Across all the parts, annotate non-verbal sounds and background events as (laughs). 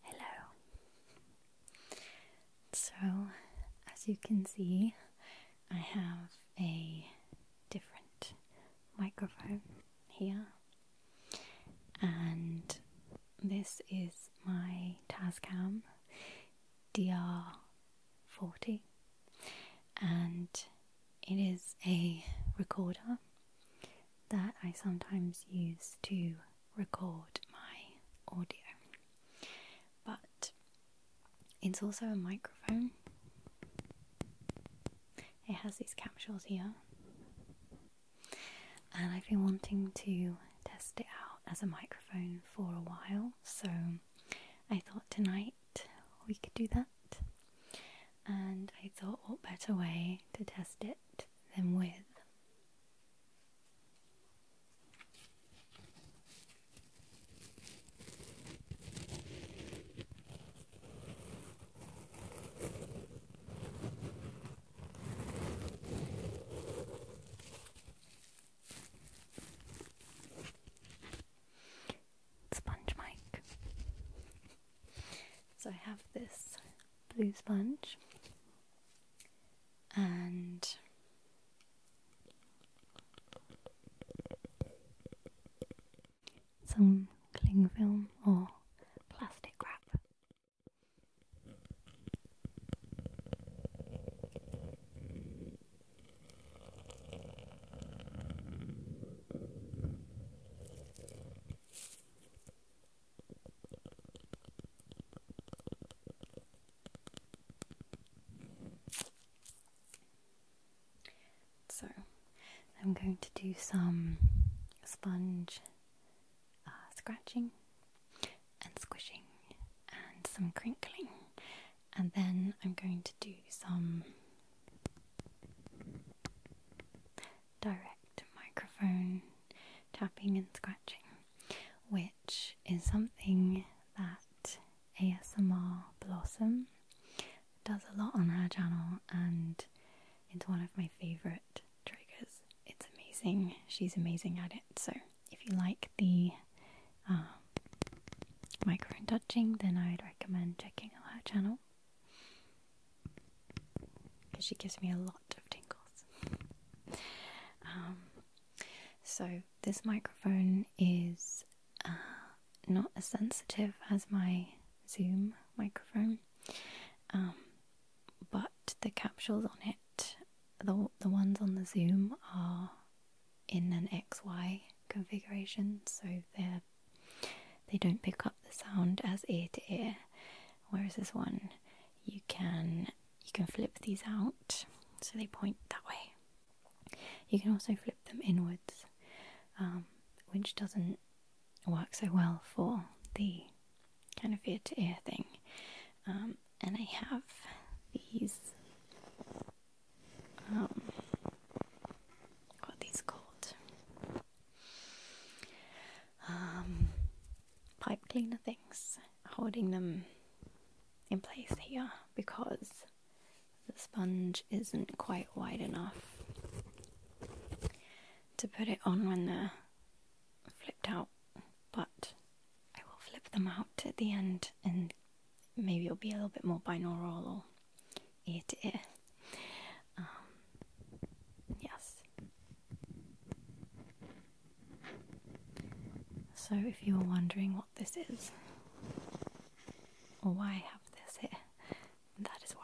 Hello. So, as you can see, I have a different microphone here, and this is my Tascam DR 40 and it is a recorder that I sometimes use to record my audio. But it's also a microphone. It has these capsules here. And I've been wanting to test it out as a microphone for a while, so I thought tonight we could do that. And I thought, what better way to test it than with sponge mic. so I have this blue sponge and some cling film or plastic wrap. So, I'm going to do some sponge uh, scratching and squishing and some crinkling and then I'm going to do some direct microphone tapping and scratching, which is something that ASMR Blossom does a lot on her channel and it's one of my favourite triggers. It's amazing, she's amazing at it. So, if you like the um, microphone touching, then I would recommend checking out her channel because she gives me a lot of tingles. Um, so, this microphone is uh, not as sensitive as my Zoom microphone, um, but the capsules on it, the, the ones on the Zoom, are in an XY configuration, so they're they don't pick up the sound as ear to ear. Whereas this one, you can you can flip these out so they point that way. You can also flip them inwards, um, which doesn't work so well for the kind of ear to ear thing. Um, and I have these um, what these called? Um, pipe cleaner things, holding them in place here because the sponge isn't quite wide enough to put it on when they're flipped out, but I will flip them out at the end and maybe it'll be a little bit more binaural it is. Um, yes. So, if you were wondering what this is, or why I have this here, that is why.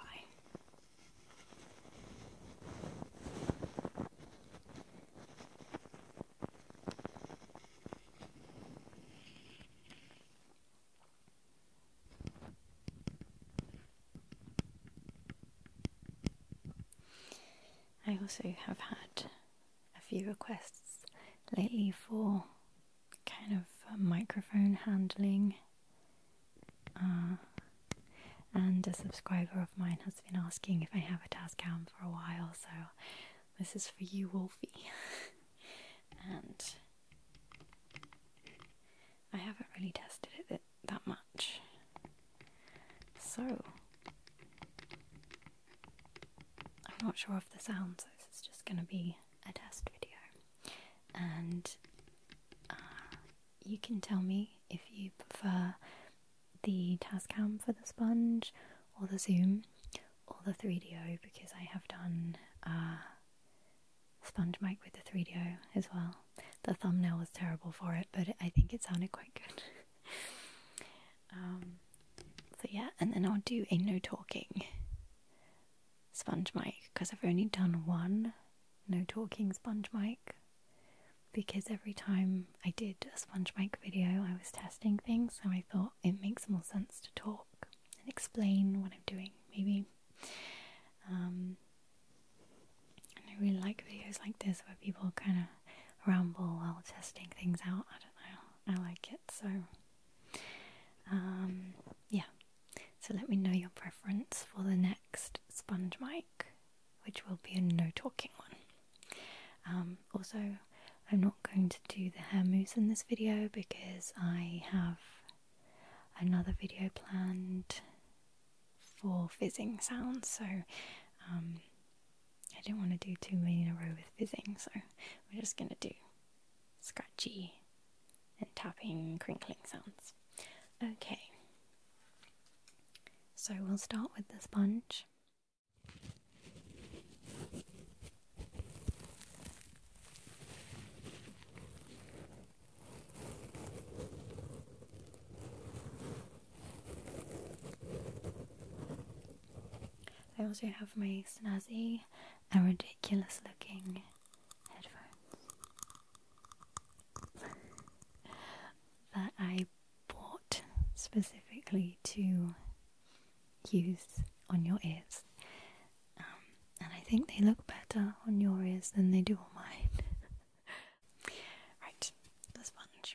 I also have had a few requests lately for kind of uh, microphone handling. Uh, and a subscriber of mine has been asking if I have a task cam for a while, so this is for you, Wolfie. (laughs) and I haven't really tested it that, much. So, I'm not sure of the sounds, this is just going to be a test video. And uh, you can tell me if you prefer the Tascam for the sponge, or the Zoom, or the 3DO because I have done uh, sponge mic with the 3DO as well. The thumbnail was terrible for it, but I think it sounded quite good. (laughs) Um, so yeah, and then I'll do a no talking sponge mic because I've only done one no talking sponge mic because every time I did a sponge mic video, I was testing things, so I thought it makes more sense to talk and explain what I'm doing, maybe. Um, I really like videos like this where people kind of ramble while testing things out. I don't know, I like it so. Um, yeah, so let me know your preference for the next sponge mic, which will be a no talking one. Um, also, I'm not going to do the hair mousse in this video because I have another video planned for fizzing sounds, so um, I didn't want to do too many in a row with fizzing, so we're just going to do scratchy and tapping, crinkling sounds. Okay, so we'll start with the sponge. I also have my snazzy and ridiculous looking headphones that I bought specifically to use on your ears. Um, and I think they look better on your ears than they do on mine. (laughs) right, the sponge.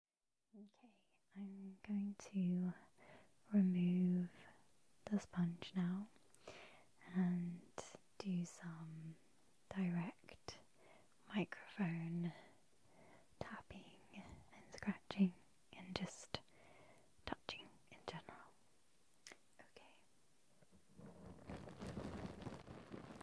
Okay, I'm going to remove the sponge now and do some direct microphone tapping and scratching and just touching in general. Okay.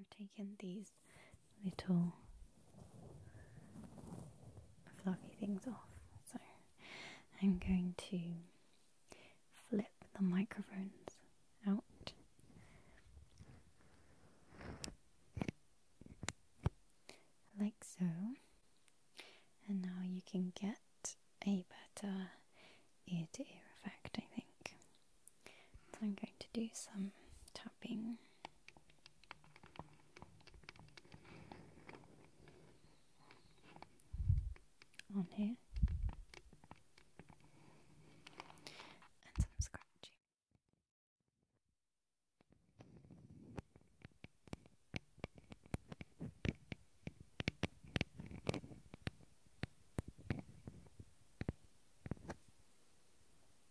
Okay, I've taken these little fluffy things off. So I'm going to flip the microphones out. Like so, and now you can get a better ear to ear effect, I think. I'm going to do some tapping on here and some scratching.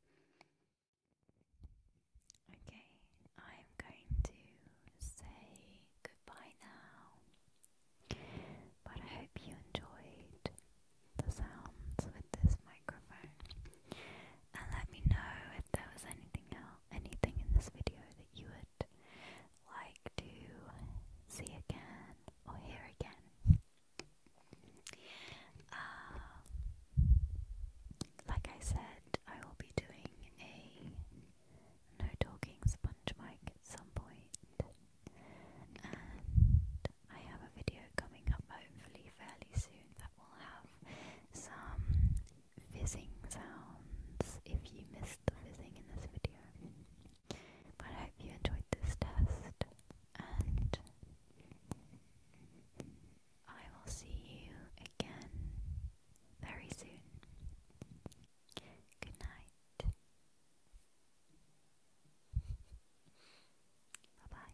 Okay, I'm going to say goodbye now, but I hope you enjoyed the sounds with this microphone. And let me know if there was anything else, anything in this video that you would like to see again or hear again. Uh, like I said, I will be doing a no talking sponge mic at some point, and I have a video coming up hopefully fairly soon that will have some fizzing sounds if you missed the fizzing in this video. But I hope you enjoyed this test, and I will see you again very soon. Good night. Bye bye.